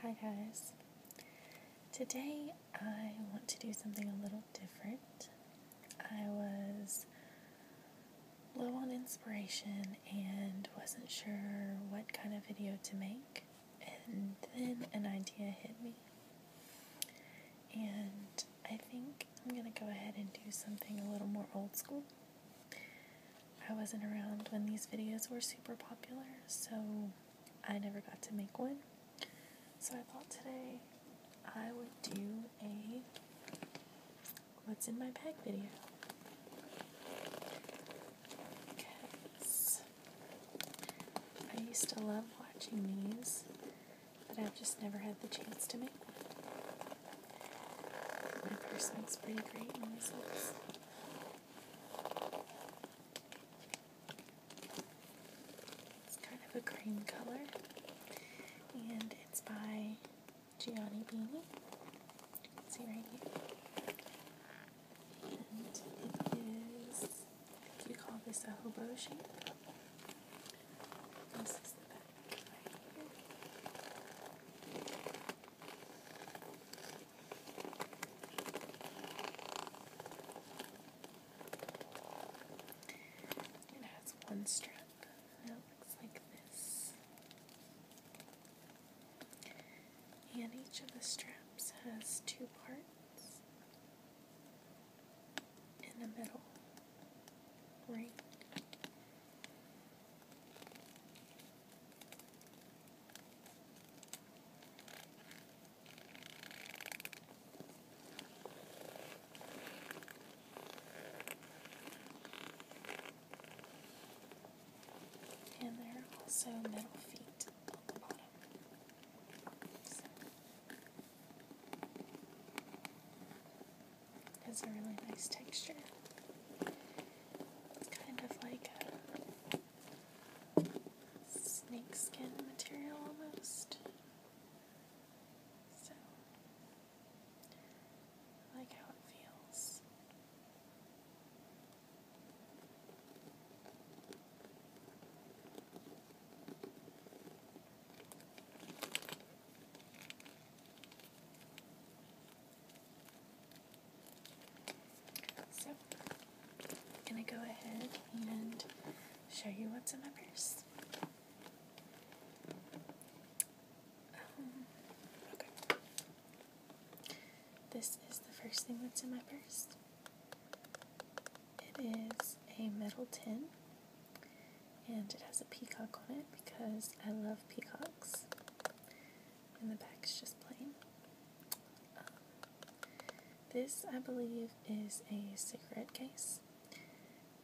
Hi guys. Today I want to do something a little different. I was low on inspiration and wasn't sure what kind of video to make, and then an idea hit me. And I think I'm going to go ahead and do something a little more old school. I wasn't around when these videos were super popular, so I never got to make one. So I thought today I would do a what's in my bag video. Because I used to love watching these, but I've just never had the chance to make one. My purse looks pretty great in this. It's kind of a cream color, and it's by Gianni Beanie. You can see right here. And it is, we call this a hobo This is the back right here. It has one strap that looks like this, and each of the straps has two parts in the middle ring. And there are also metal feet on the bottom. So, a really nice texture. It's kind of like snake skin material almost. So like how it feels. So, I'm going to go ahead and show you what's in my purse. Um, okay. This is the first thing that's in my purse. It is a metal tin and it has a peacock on it because I love peacocks and the back is just plain. Um, this, I believe, is a cigarette case,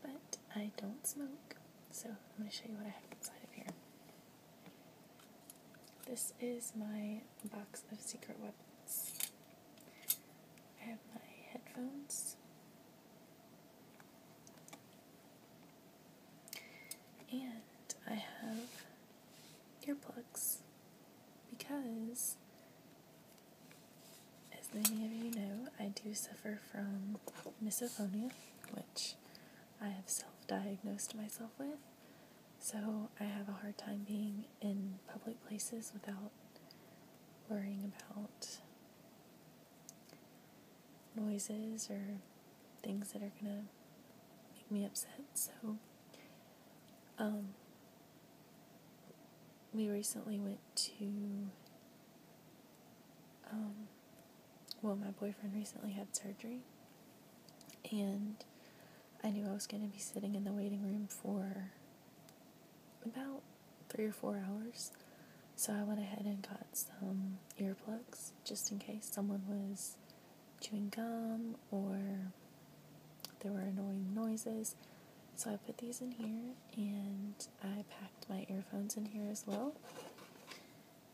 but I don't smoke, so I'm going to show you what I have inside of here. This is my box of secret weapons. I have my headphones. And I have earplugs because, as many of you know, I do suffer from misophonia, which I have self diagnosed myself with. So I have a hard time being in public places without worrying about noises or things that are going to make me upset. So, um, we recently went to, um, well, my boyfriend recently had surgery, and I knew I was going to be sitting in the waiting room for about three or four hours. So I went ahead and got some earplugs just in case someone was chewing gum or there were annoying noises. So I put these in here and I packed my earphones in here as well.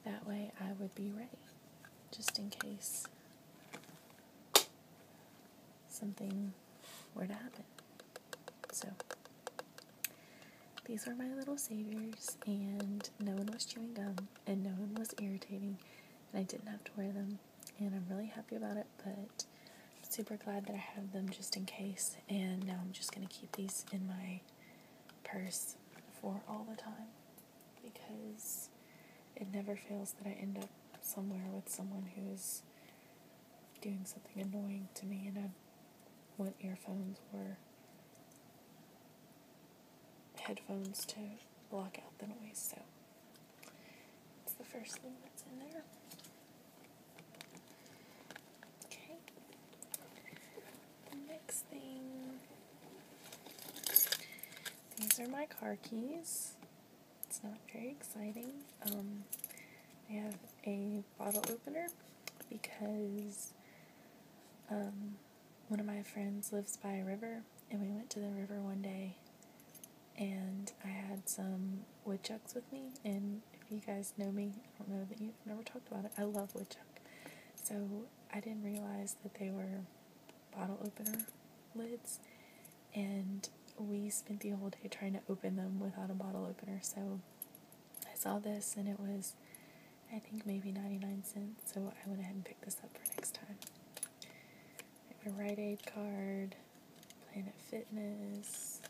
That way I would be ready just in case something were to happen. So these were my little saviors, and no one was chewing gum, and no one was irritating, and I didn't have to wear them, and I'm really happy about it, but I'm super glad that I have them just in case, and now I'm just going to keep these in my purse for all the time, because it never fails that I end up somewhere with someone who's doing something annoying to me, and I want earphones Were headphones to block out the noise, so it's the first thing that's in there. Okay. next thing these are my car keys. It's not very exciting. Um, I have a bottle opener because um, one of my friends lives by a river, and we went to the river one day, and I had some woodchucks with me. And if you guys know me, I don't know that you've never talked about it. I love woodchuck, so I didn't realize that they were bottle opener lids, and we spent the whole day trying to open them without a bottle opener. So I saw this, and it was. I think maybe 99 cents, so I went ahead and pick this up for next time. a Rite Aid card, Planet Fitness,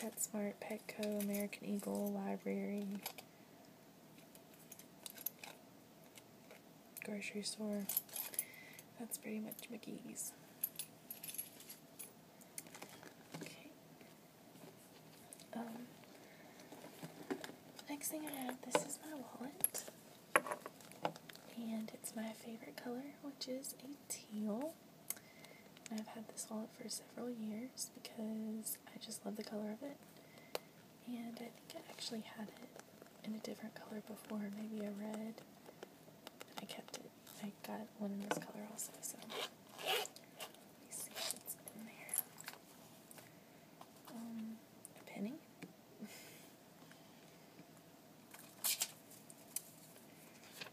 PetSmart, Petco, American Eagle, Library, grocery store. That's pretty much McGee's. Okay. Um, next thing I have, this is my wallet. And it's my favorite color, which is a teal. And I've had this wallet for several years because I just love the color of it. And I think I actually had it in a different color before, maybe a red. I kept it. I got one in this color also, so let me see what's in there. Um, a penny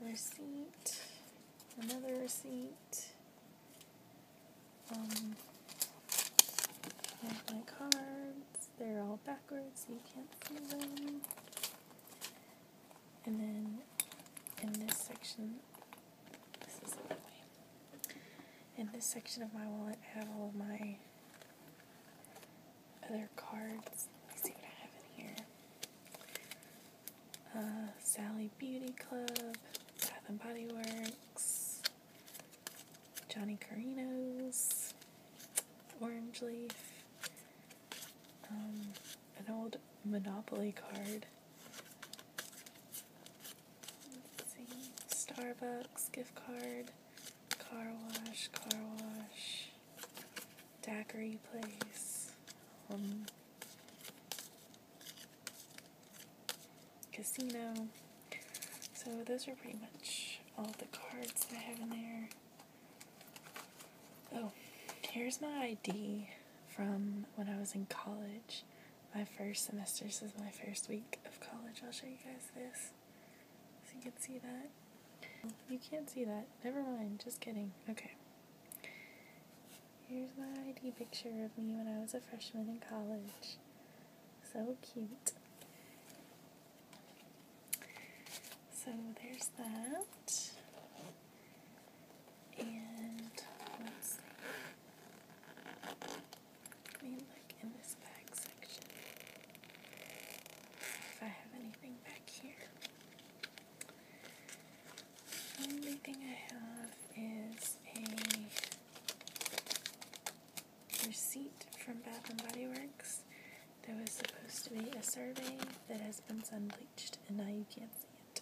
receipt, another receipt, um, my cards, they're all backwards so you can't see them, and then in this section, this is the way, in this section of my wallet I have all of my other cards. Let me see what I have in here. Uh, Sally Beauty Club, Bath and Body Works, Johnny Carino's, Orange Leaf, um, an old Monopoly card. Starbucks gift card, Car wash, car wash, daiquiri place, um, casino. So those are pretty much all the cards that I have in there. Oh, here's my ID from when I was in college. My first semester, this is my first week of college. I'll show you guys this. So you can see that. You can't see that. Never mind. Just kidding. Okay. Here's my ID picture of me when I was a freshman in college. So cute. So there's that. And let's see. Let me look in this bag section if I have anything back here. The only thing I have is a receipt from Bath and Body Works. There was supposed to be a survey that has been sun bleached, and now you can't see it.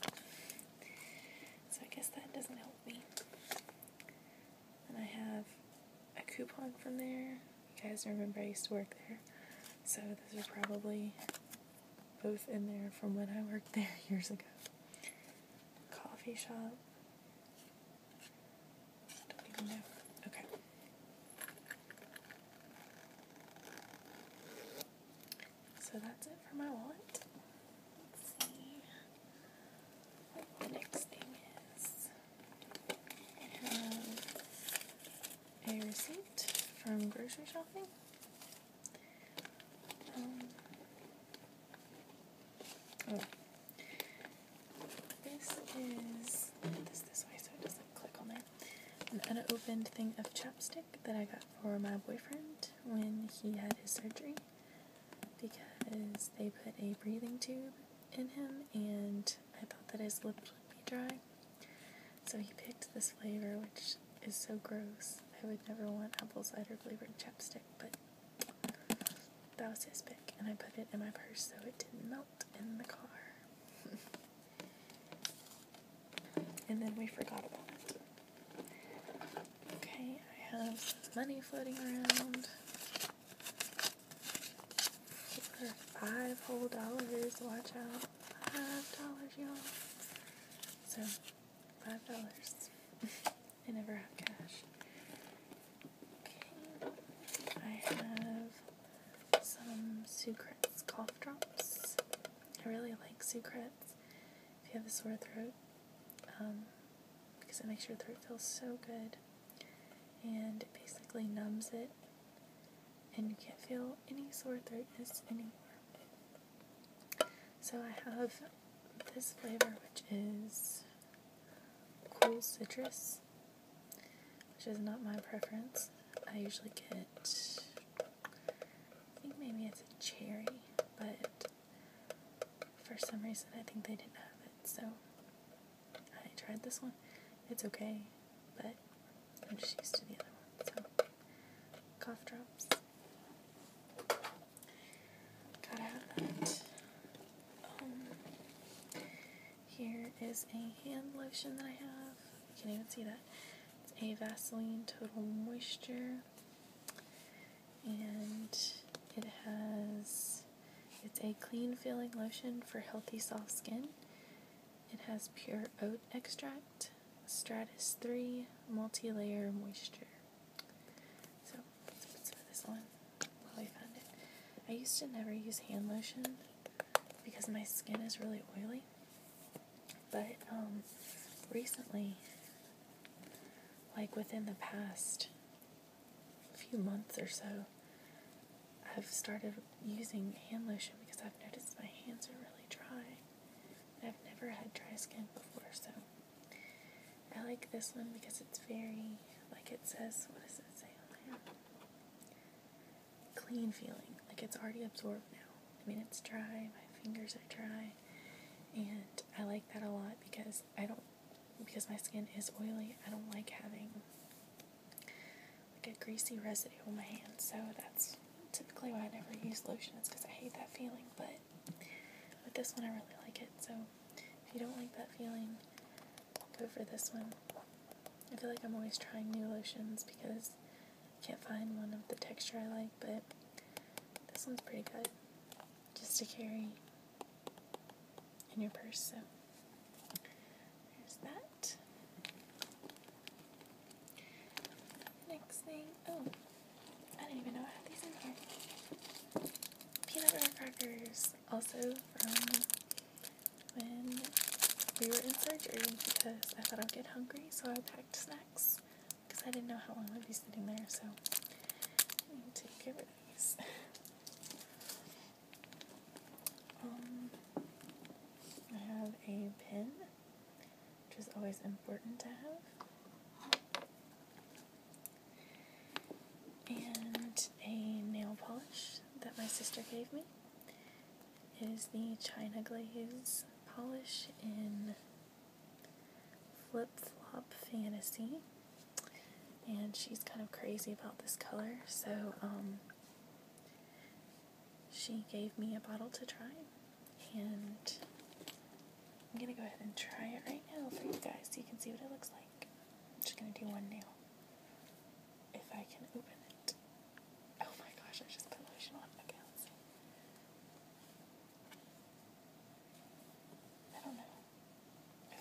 So I guess that doesn't help me and I have a coupon from there. You guys remember I used to work there, so those are probably both in there from when I worked there years ago. Coffee shop. Don't even know. Okay. So that's it for my wallet. Let's see what the next thing is. I have a receipt from grocery shopping. Um, oh. This is An unopened thing of chapstick that I got for my boyfriend when he had his surgery because they put a breathing tube in him and I thought that his lips would be dry. So he picked this flavor, which is so gross. I would never want apple cider flavored chapstick, but that was his pick. And I put it in my purse so it didn't melt in the car. and then we forgot about it. Okay, I have money floating around. For five whole dollars, watch out. Five dollars, y'all. So, five dollars. I never have cash. Okay. I have some Sucrets cough drops. I really like Sucrets if you have a sore throat. Um, because it makes your throat feel so good and it basically numbs it, and you can't feel any sore throatness anymore. So I have this flavor, which is cool citrus, which is not my preference. I usually get, I think maybe it's a cherry, but for some reason I think they didn't have it, so I tried this one. It's okay, but I'm just used to the other one. So, cough drops. Got out. Um, here is a hand lotion that I have. You can't even see that. It's a Vaseline Total Moisture, and it has it's a clean feeling lotion for healthy, soft skin. It has pure oat extract, Stratus 3 multi layer moisture. So let's put some of this on while we found it. I used to never use hand lotion because my skin is really oily, but um, recently, like within the past a few months or so, I've started using hand lotion because I've noticed my hands are really dry. I've never had dry skin before, so I like this one because it's very, like it says, what does it say on there? Clean feeling. Like it's already absorbed now. I mean, it's dry, my fingers are dry, and I like that a lot because I don't because my skin is oily, I don't like having like a greasy residue on my hands. So that's typically why I never use lotions, because I hate that feeling. But with this one, I really like it. So if you don't like that feeling, go for this one. I feel like I'm always trying new lotions because I can't find one of the texture I like. But this one's pretty good just to carry in your purse. So there's that. Next thing, oh, I didn't even know I had these in here. Peanut butter crackers, also from when we were in surgery because I thought I'd get hungry, so I packed snacks because I didn't know how long I'd be sitting there, so take care of these. Um, I have a pin, which is always important to have, and a nail polish that my sister gave me. It is the China Glaze polish in Flip Flop Fantasy and she's kind of crazy about this color, so um, she gave me a bottle to try, and I'm gonna go ahead and try it right now for you guys so you can see what it looks like. I'm just gonna do one now. If I can open it. Oh my gosh, I just put lotion on. Okay, let's see. I don't know. I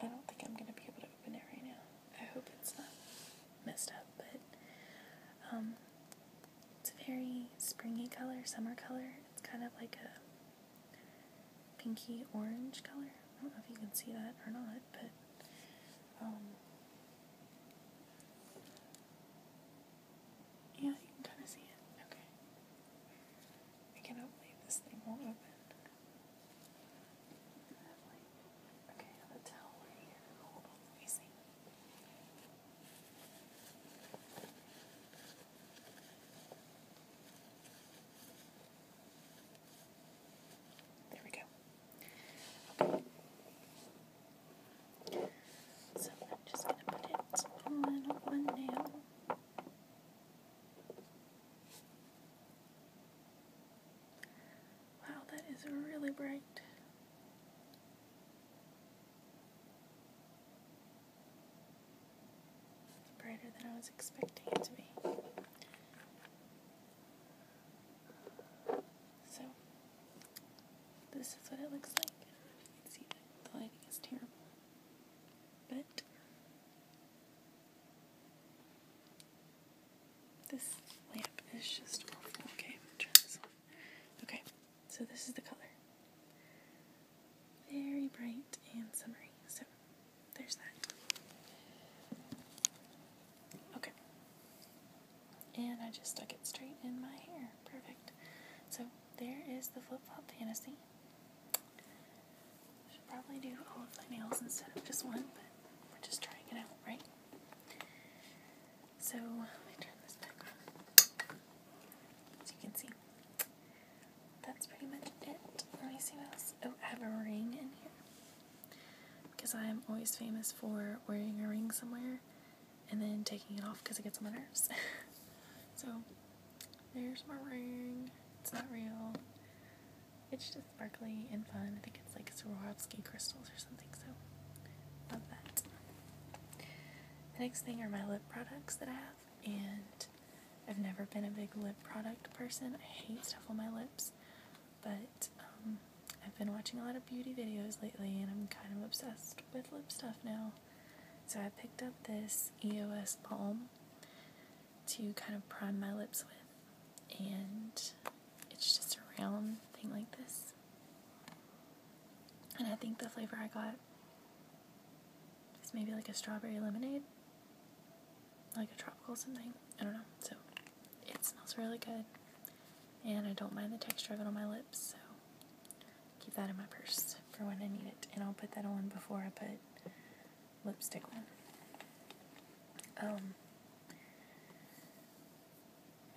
I don't think I'm gonna be able to open it right now. I hope it's not messed up, but um, it's a very springy color, summer color. It's kind of like a pinky orange color. I don't know if you can see that or not, but um, yeah, you can kind of see it. Okay. I cannot believe this thing won't open. Okay, I have Hold on, let me see. There we go. So I'm just going to put it on one nail. Wow, that is really bright. brighter than I was expecting it to be. So, this is what it looks like. You can see that the lighting is terrible. But, this lamp is just awful. Okay, turn this on. Okay, so this is the color. Very bright and summery. So, there's that. Okay, and I just stuck it straight in my hair. Perfect. So there is the flip flop fantasy. I should probably do all of my nails instead of just one, but we're just trying it out, right? So let me turn this back on. As you can see, that's pretty much it. Let me see what else. Oh, I have a ring in here because I am always famous for wearing a ring somewhere and then taking it off because it gets on my nerves. so there's my ring. It's not real. It's just sparkly and fun. I think it's like Swarovski crystals or something, so love that. The next thing are my lip products that I have, and I've never been a big lip product person. I hate stuff on my lips. But um, I've been watching a lot of beauty videos lately and I'm kind of obsessed with lip stuff now. So I picked up this EOS balm to kind of prime my lips with. And it's just a round thing like this. And I think the flavor I got is maybe like a strawberry lemonade. Like a tropical something. I don't know. So it smells really good. And I don't mind the texture of it on my lips, so keep that in my purse for when I need it. And I'll put that on before I put lipstick on. Um,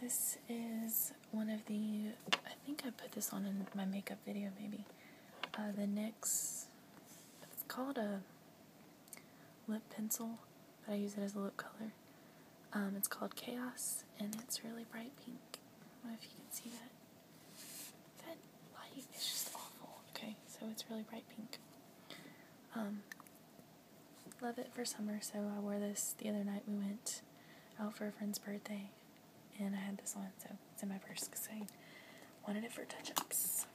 this is one of the, I think I put this on in my makeup video maybe. Uh, the NYX, it's called a lip pencil, but I use it as a lip color. Um, it's called Chaos, and it's really bright pink. I if you can see that. That light is just awful. Okay, so it's really bright pink. Um, love it for summer, so I wore this the other night. We went out for a friend's birthday, and I had this on, so it's in my purse because I wanted it for touch-ups.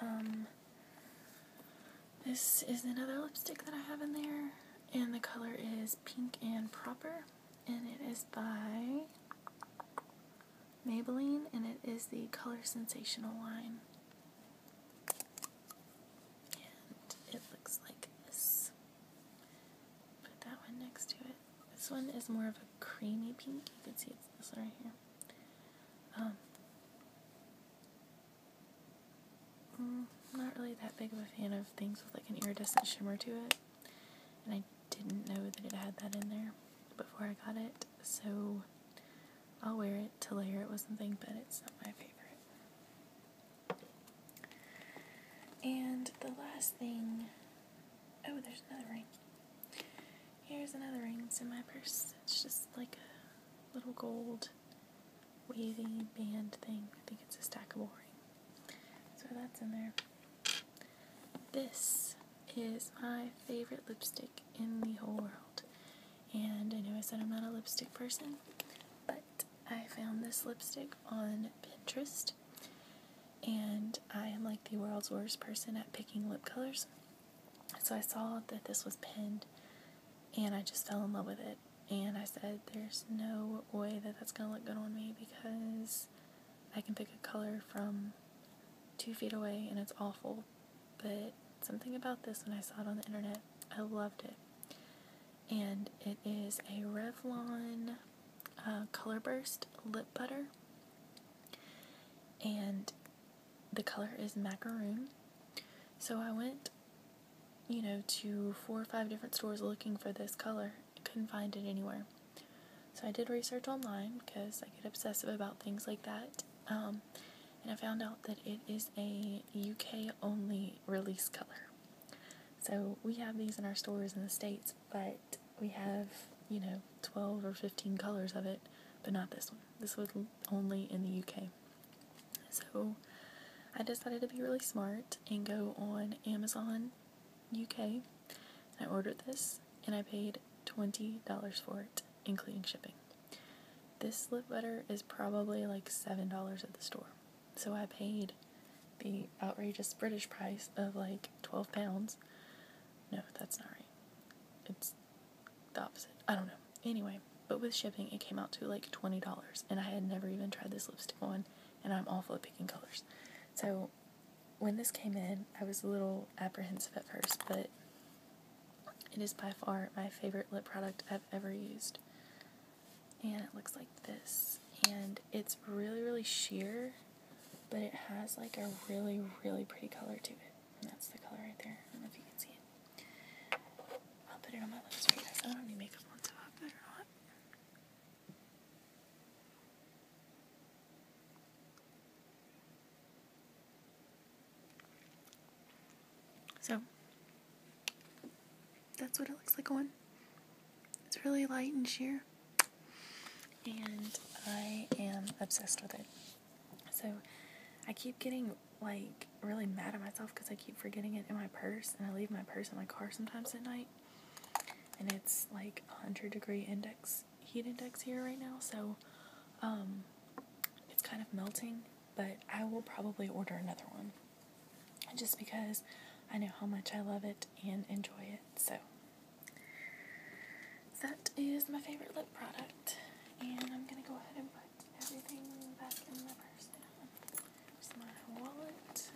Um, this is another lipstick that I have in there, and the color is Pink and Proper, and it is by Maybelline, and it is the Color Sensational line. And it looks like this. Put that one next to it. This one is more of a creamy pink. You can see it's this right here. Um, mm, not really that big of a fan of things with like an iridescent shimmer to it. And I didn't know that it had that in there before I got it, so I'll wear it to layer it with something, but it's not my favorite. And the last thing oh, there's another ring. Here's another ring. It's in my purse. It's just like a little gold wavy band thing. I think it's a stack of ring. So that's in there. This is my favorite lipstick in the whole world. And I know I said I'm not a lipstick person, but I found this lipstick on Pinterest. And I am like the world's worst person at picking lip colors. So I saw that this was pinned and I just fell in love with it. And I said, there's no way that that's going to look good on me because I can pick a color from two feet away and it's awful. But something about this when I saw it on the internet, I loved it. And it is a Revlon uh, Colorburst Lip Butter. And the color is macaroon. So I went, you know, to four or five different stores looking for this color. Couldn't find it anywhere. So I did research online because I get obsessive about things like that. Um, and I found out that it is a UK only release color. So we have these in our stores in the States, but we have, you know, 12 or 15 colors of it, but not this one. This was only in the UK. So I decided to be really smart and go on Amazon UK. I ordered this and I paid $20 for it, including shipping. This lip butter is probably like $7 at the store. So I paid the outrageous British price of like 12 pounds. No, that's not right. It's the opposite. I don't know. Anyway, but with shipping, it came out to like $20, and I had never even tried this lipstick on, and I'm awful at picking colors. So when this came in, I was a little apprehensive at first, but it is by far my favorite lip product I've ever used. And it looks like this. And it's really, really sheer, but it has like a really, really pretty color to it. And that's the color right there. I don't know if you can see it. I'll put it on my lips for you I don't need any makeup on, so I better not. So, that's what it looks like on. It's really light and sheer. And I am obsessed with it. So, I keep getting like really mad at myself because I keep forgetting it in my purse and I leave my purse in my car sometimes at night. And it's like 100 degree index heat index here right now, so um it's kind of melting, but I will probably order another one. Just because I know how much I love it and enjoy it. So that is my favorite lip product. And I'm going to go ahead and put everything back in my purse now. There's my wallet,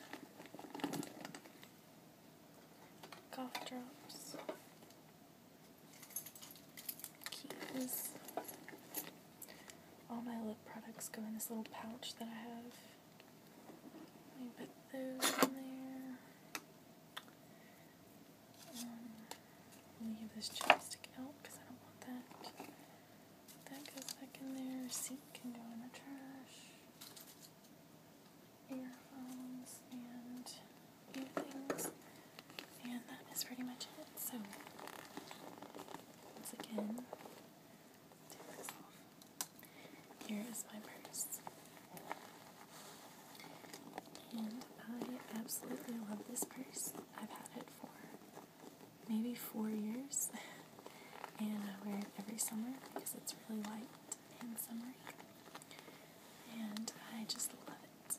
cough drops, keys. All my lip products go in this little pouch that I have. Let me put those in there. Um, leave this chapstick out because I don't want that. That goes back in there. Seat can go in the trash. Earphones and new things. And that is pretty much it. So, once again, take this off. Here is my purse. And I absolutely love this purse. I've had it for maybe four years, and I uh, wear it every summer because it's really light and summery, and I just love it. So,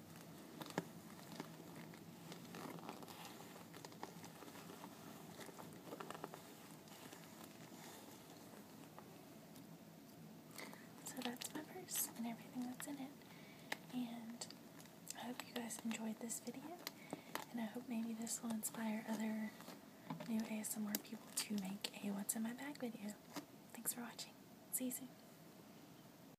So that's my purse and everything that's in it. And I hope you guys enjoyed this video. And I hope maybe this will inspire other new ASMR people to make a What's in My Bag video. Thanks for watching. See you soon.